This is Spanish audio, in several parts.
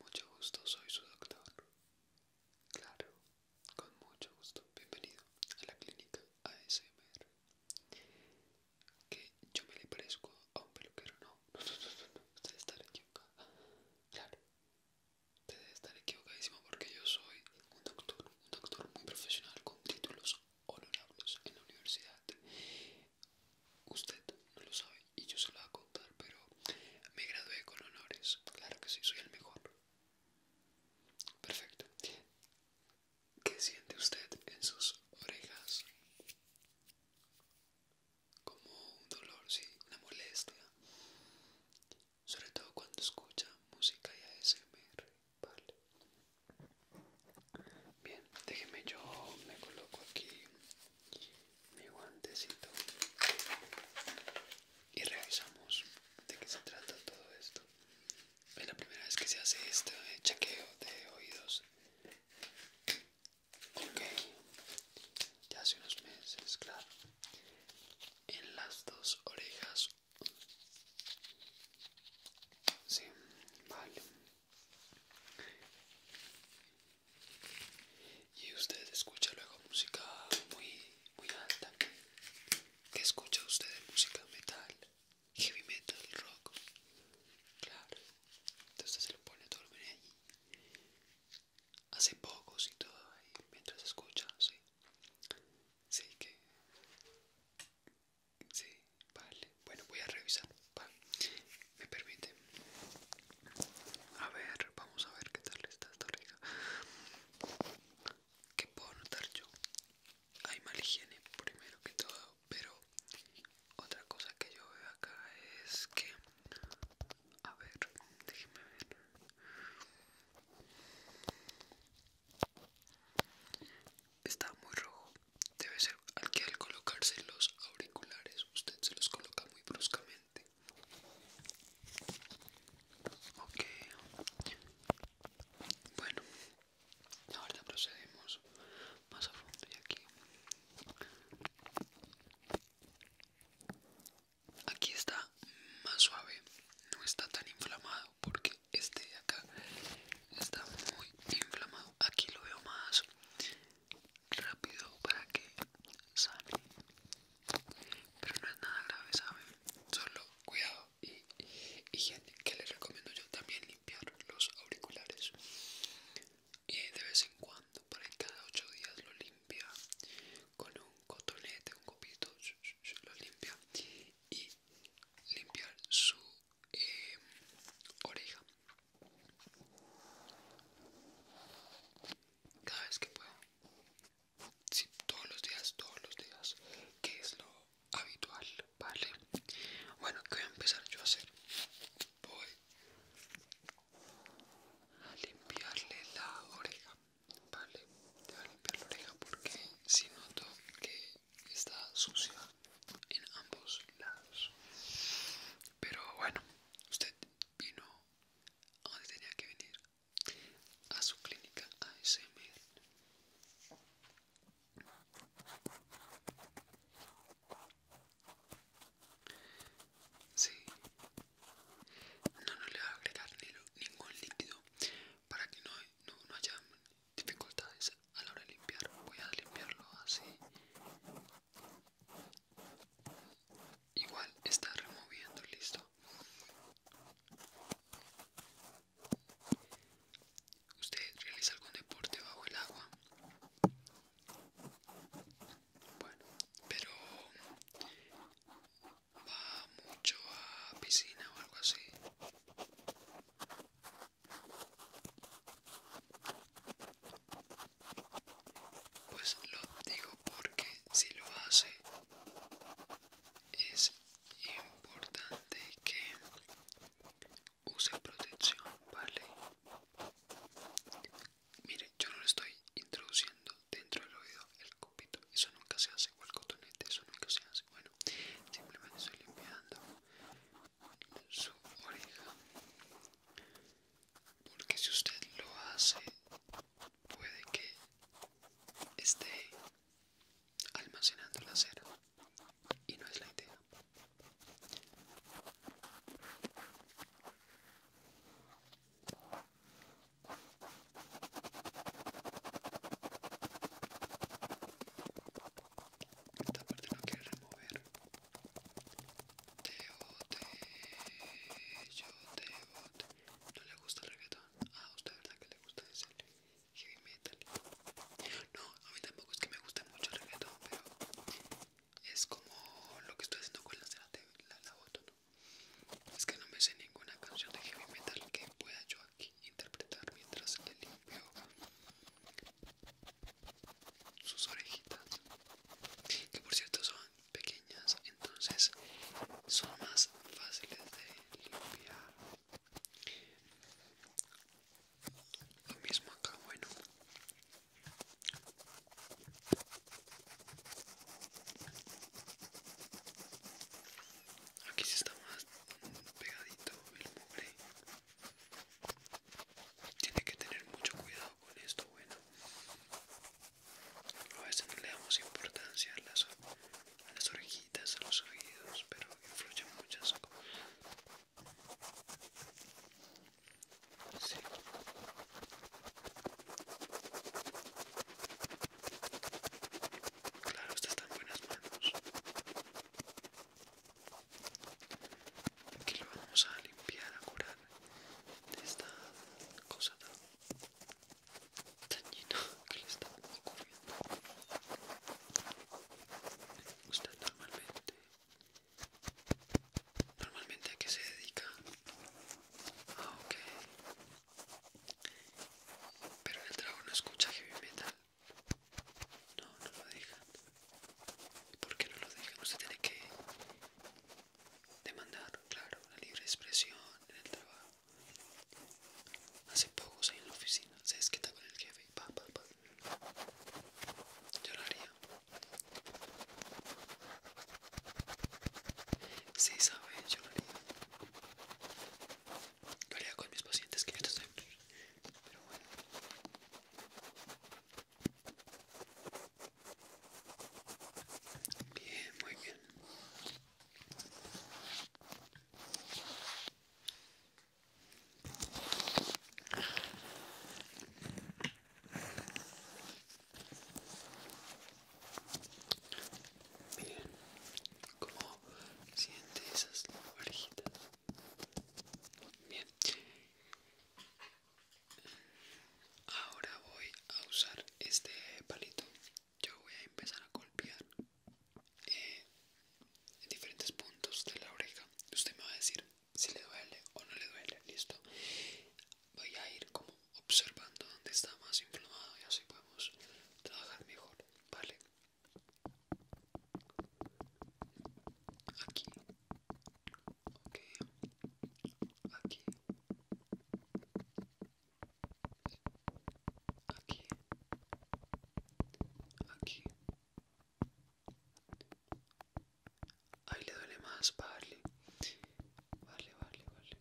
Mucho gusto, soy su doctor. Claro, con mucho gusto. Bienvenido a la clínica ASMR. Que yo me le parezco a un peluquero, no, no, no, no, usted está equivocado. Claro. Debe estar equivocadísimo porque yo soy un doctor, un doctor muy profesional con títulos honorables en la universidad. Usted no lo sabe y yo se lo voy a contar, pero me gradué con honores. Claro que sí, soy el mejor. Perfecto. ¿Qué siente usted en sus orejas? como un dolor, sí, una molestia, sobre todo cuando escucha música y ASMR, vale. Bien, déjeme yo me coloco aquí mi guantecito y revisamos de qué se trata todo esto. Es la primera vez que se hace este eh, chequeo de oídos Ok, ya hace unos meses, claro. En las dos orejas. Sí, vale. Y usted escucha luego música muy, muy alta. ¿Qué escucha usted música metal? Heavy metal, rock. Claro. Entonces se le pone todo el allí hace pocos y todo ahí mientras escucha, sí. Sí que... Sí, vale. Bueno, voy a revisar. Me permite. A ver, vamos a ver qué tal está esta rica. ¿Qué puedo notar yo? Hay mal higiene, primero que todo, pero otra cosa que yo veo acá es que a ver, déjeme ver. Está muy rojo. Debe ser al que al colocarse los auriculares usted se los coloca muy bruscamente. Ok. Bueno, ahora procedemos más a fondo y aquí. Aquí está más suave, no está tan inflamado porque este de acá está muy inflamado. Aquí lo veo más rápido para que sale Pero no es nada grave, ¿saben? Solo cuidado y gente, que les recomiendo yo también limpiar los auriculares y de vez en cuando, por ahí cada 8 días lo limpia con un cotonete, un copito, lo limpia y limpiar su em, oreja cada vez que pueda. todos los días, todos los días, que es lo habitual, ¿vale? Bueno, que voy a empezar yo a hacer? Voy a limpiarle la oreja, ¿vale? Te voy a limpiar la oreja porque si noto que está sucia en ambos lados. Pero bueno, usted vino a ah, donde tenía que venir, a su clínica ASMR. No, no le voy a agregar ningún líquido para que no, no haya dificultades a la hora de limpiar. Voy a limpiarlo así. Igual está removiendo, listo. ¿Usted realiza algún deporte bajo el agua? Bueno, pero va mucho a piscina o algo así. Pues lo digo porque si lo hace es importante que use protección, ¿vale? Mire, yo no le estoy introduciendo dentro del oído el copito. Eso nunca se hace. O el cotonete. Eso nunca se hace. Bueno, simplemente estoy limpiando su oreja. Porque si usted lo hace, puede que esté almacenando la cera. Y no es la idea. Esta parte no quiere remover. te o te No le gusta el reggaetón. Ah, usted verdad que le gusta ese heavy metal. No, a mí tampoco es que me guste mucho el reggaetón, pero es como lo que estoy haciendo con de la, la, Es que no me sé ninguna canción de heavy metal que pueda yo aquí interpretar mientras le limpio sus orejitas, que por cierto son pequeñas, entonces son más fáciles de limpiar. Lo mismo acá, bueno, Aquí sí está más pegadito el mugre. Tiene que tener mucho cuidado con esto, bueno. A veces no le damos importancia a las, a las orejitas, a los oídos, pero influye muchas cosas. Sí. Claro, usted está en buenas manos. Aquí lo vamos a limpiar, a curar de esta cosa tan dañina que le está ocurriendo. Usted normalmente Normalmente a qué se dedica. Ah, ok. Pero en el trabajo no escucha heavy metal. No, no lo dejan. ¿Por qué no lo dejan? Usted tiene que demandar, claro, la libre expresión en el trabajo. Hace pocos ahí en la oficina se desquita con el jefe. Pa, pa, pa. Yo lo haría. Sí, sabe, yo lo haría. Lo con mis pacientes que ya están. Pero bueno. Bien, muy bien. Miren cómo siente esas orejitas. Bien. Ahora voy a usar este palito. Yo voy a empezar a golpear en eh, diferentes puntos de la oreja. Usted me va a decir si le duele o no le duele, listo. Voy a ir como observando donde está más inflamado y así podemos trabajar mejor, ¿vale? Aquí, ok, aquí, aquí, aquí. Ahí le duele más, vale. Vale, vale, vale.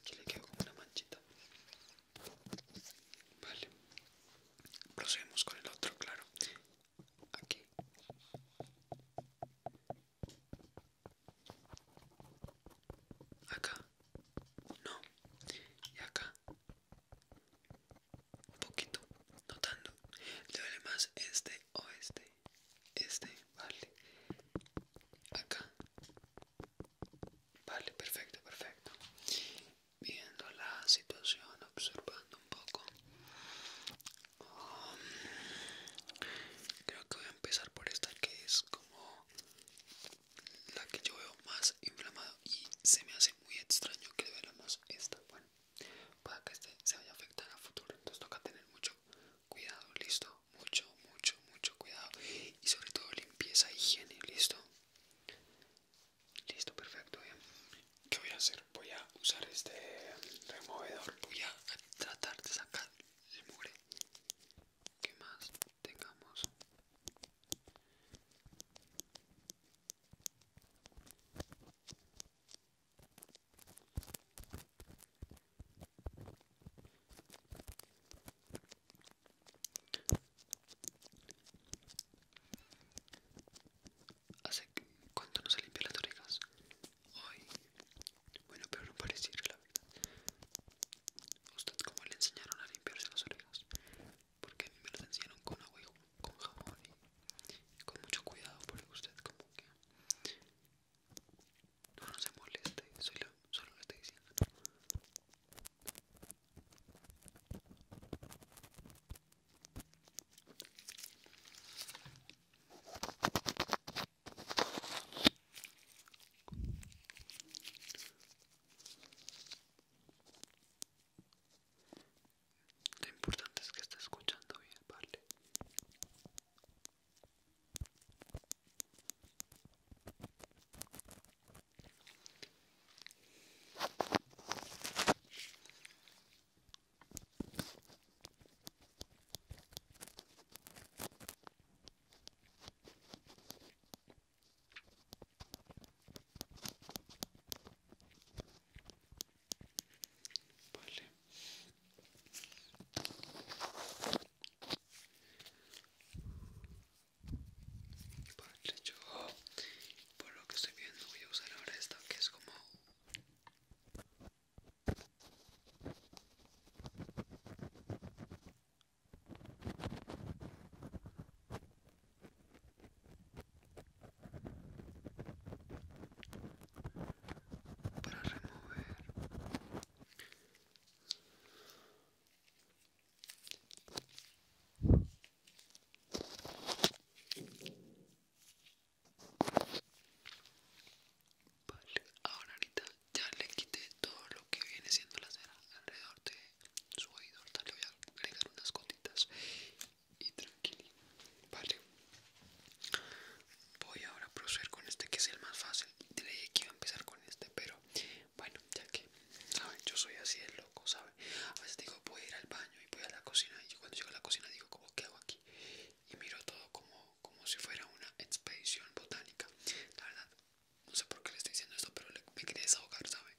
Aquí le quedó como una manchita. Vale. Procedemos con el otro, claro. Aquí. Acá. No. Y acá un poquito, notando Le más este o este. Este, vale. Acá. Vale, perfecto, perfecto. Viendo la situación, observando un poco. Um, creo que voy a empezar por esta que es como la que yo veo más inflamado y se me hace muy extraño que veamos más esta. Para que este se vaya a afectar a futuro. Entonces toca tener mucho cuidado, listo. Mucho, mucho, mucho cuidado. Y sobre todo limpieza, higiene, listo. Listo, perfecto. Bien. ¿Qué voy a hacer? Voy a usar este removedor. Voy a tratar de sacar el mugre que más tengamos. Hace cuánto no se limpia las orejas hoy. Bueno, pero no pareciera la verdad. ¿Usted cómo le enseñaron a limpiarse las orejas? Porque a mí me las enseñaron con agua y jugo con jamón y, con mucho cuidado porque usted como que no, se moleste, solo solo le estoy diciendo. Lo importante es que esté escuchando bien, ¿vale? Vale. yo oh, por lo que estoy viendo voy a usar ahora esto que es como para remover Vale, ahora ahorita ya le quité todo lo que viene siendo la cera alrededor de su oído. le voy a agregar unas gotitas y tranquilo, Vale. Voy ahora a proceder con este que es el más fácil. Te leí que iba a empezar con este, pero bueno, ya que, ¿sabes? Yo soy así de loco, ¿sabes? A veces digo, voy a ir al baño y voy a la cocina. Y yo cuando llego a la cocina digo, ¿cómo qué hago aquí? Y miro todo como, como si fuera una expedición botánica. La verdad, no sé por qué le estoy diciendo esto, pero me quería desahogar, ¿sabes?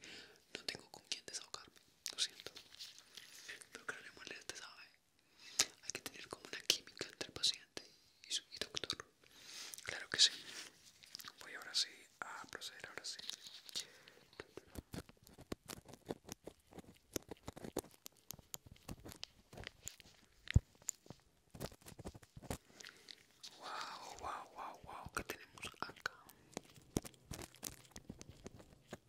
No tengo con quién desahogarme, lo siento. Pero que no le moleste, ¿sabe? Hay que tener como una química entre el paciente y, su, doctor. Claro que sí. Voy ahora sí a proceder, ahora sí. Wow, wow, wow, wow, ¿qué tenemos acá?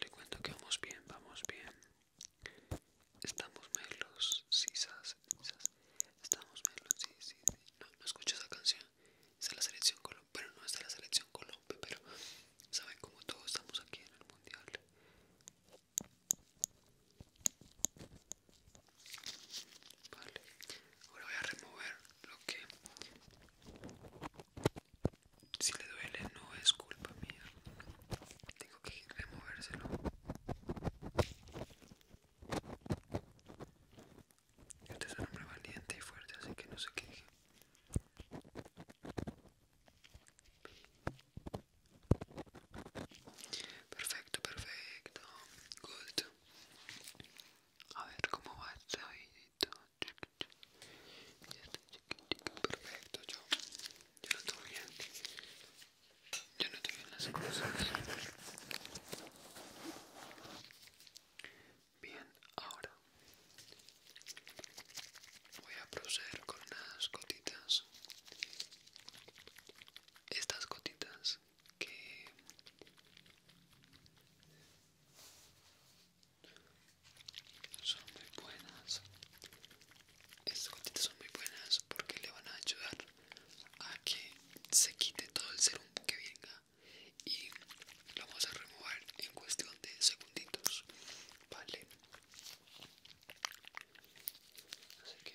Le cuento que vamos bien, vamos bien. Estamos melos, si sisas. Estamos melos, sí, sí, sí. No, no escucho esa canción. Es de la selección Colombia, pero no es la selección Colombia, pero saben como todos estamos aquí en el mundial. Vale, ahora voy a remover lo que si le duele no es culpa mía. Tengo que removérselo. Este es un hombre valiente y fuerte, así que no se queje. Perfecto, perfecto. Good. A ver cómo va hoy perfecto. Yo, yo no estoy bien. Yo no estoy bien las cosas. Bien, ahora voy a proceder con unas gotitas. Estas gotitas que son muy buenas estas gotitas son muy buenas porque le van a ayudar a que se quite todo el serum que venga y lo vamos a remover en cuestión de segunditos vale así que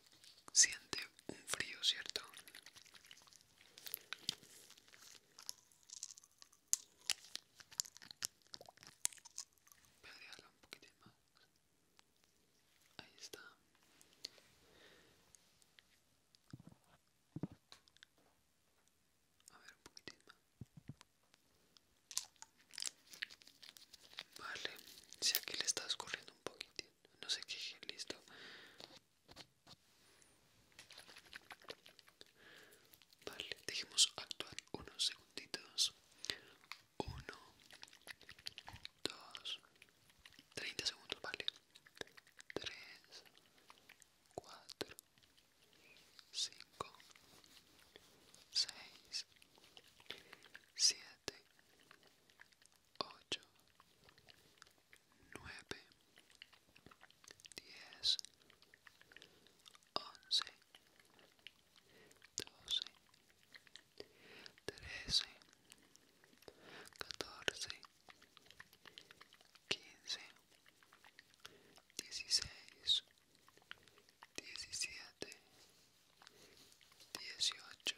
siente un frío, ¿cierto? Pedrearla un poquitín más. Ahí está. A ver, un poquitín más. Vale, si aquí le está escurriendo un poquitín no se queje, listo. Vale, dejemos actuar unos segunditos. Uno, dos, treinta segundos, vale. Tres, cuatro, cinco, seis, siete siete, ocho, nueve, diez, once, doce, trece, catorce, quince, dieciséis, diecisiete, dieciocho,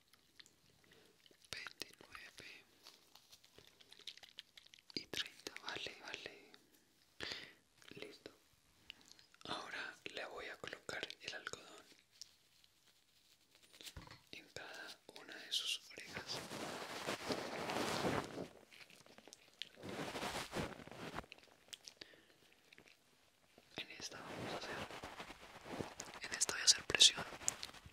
29 y 30 vale vale listo ahora le voy a colocar el algodón en cada una de sus orejas en esta vamos a hacer en esta voy a hacer presión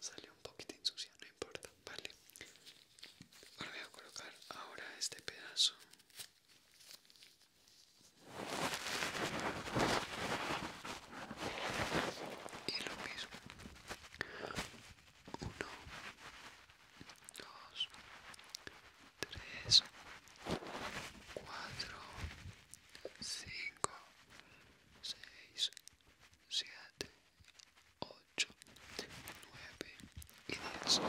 Salió un poquito insucia, no importa, vale. Voy a colocar ahora este pedazo. Y lo mismo. 1 2 3 4 5 6, 7, 8, 9 y 10. Oh my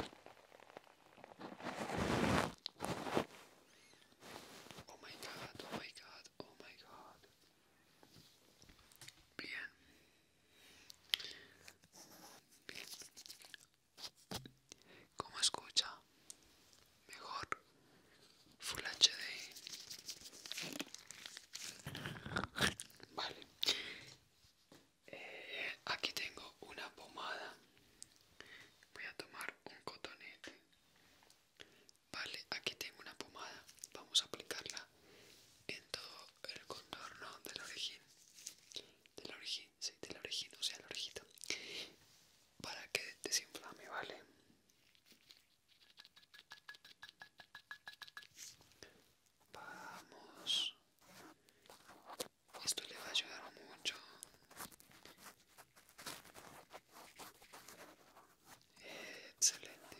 god, oh my god, oh my god. Bien. Bien. ¿Cómo escucha? mejor Full HD vale eh, aquí tengo una pomada voy a tomar un cotonete vale aquí tengo una pomada vamos a aplicarla en todo el contorno del origen del origen de del origen o sea el orejito para que desinflame vale Vamos. Esto le va a ayudar mucho. Excelente.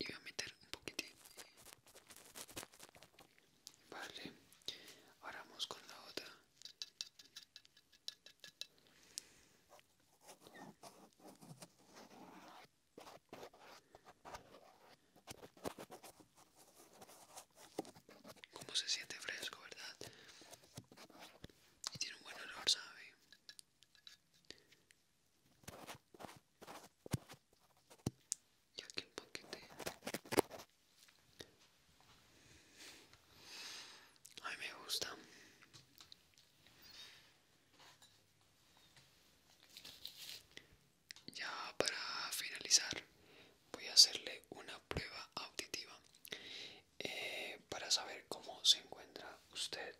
Y voy a meter un poquitín. Vale. Ahora vamos con la otra. Como se siente fresco, ¿verdad? Y tiene un buen olor, ¿sabe? Y aquí un poquito Ay me gusta. Ya para finalizar voy a hacerle una prueba auditiva eh, para saber cómo se encuentra usted.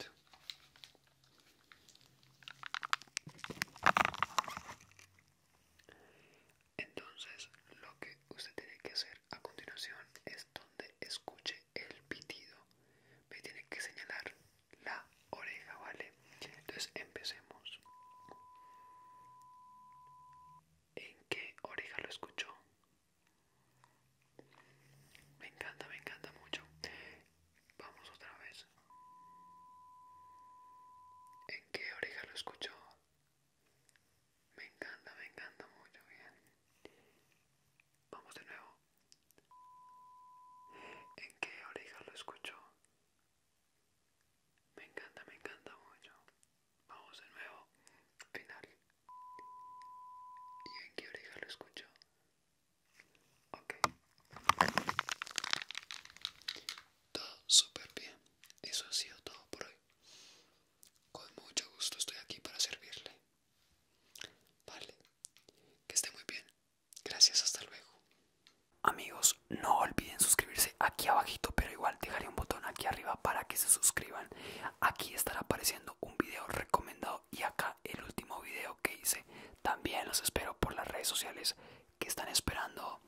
Entonces lo que usted tiene que hacer a continuación es donde escuche el pitido. Me tiene que señalar la oreja, ¿vale? Entonces empecemos. ¿En qué oreja lo escuchó? Me encanta, me encanta mucho. Vamos otra vez. ¿En qué oreja lo escuchó? Me encanta, me encanta mucho, bien. Vamos de nuevo. ¿En qué oreja lo escucho? Me encanta, me encanta mucho. Vamos de nuevo. Final. ¿Y en qué oreja lo escucho? Ok. Todo súper bien. Eso ha sido todo por hoy. Con mucho gusto estoy aquí para servirle. Vale, que esté muy bien. Gracias, hasta luego. Amigos, no olviden suscribirse aquí abajito, pero igual dejaré un botón aquí arriba para que se suscriban. Aquí estará apareciendo un video recomendado y acá el último video que hice. También los espero por las redes sociales que están esperando.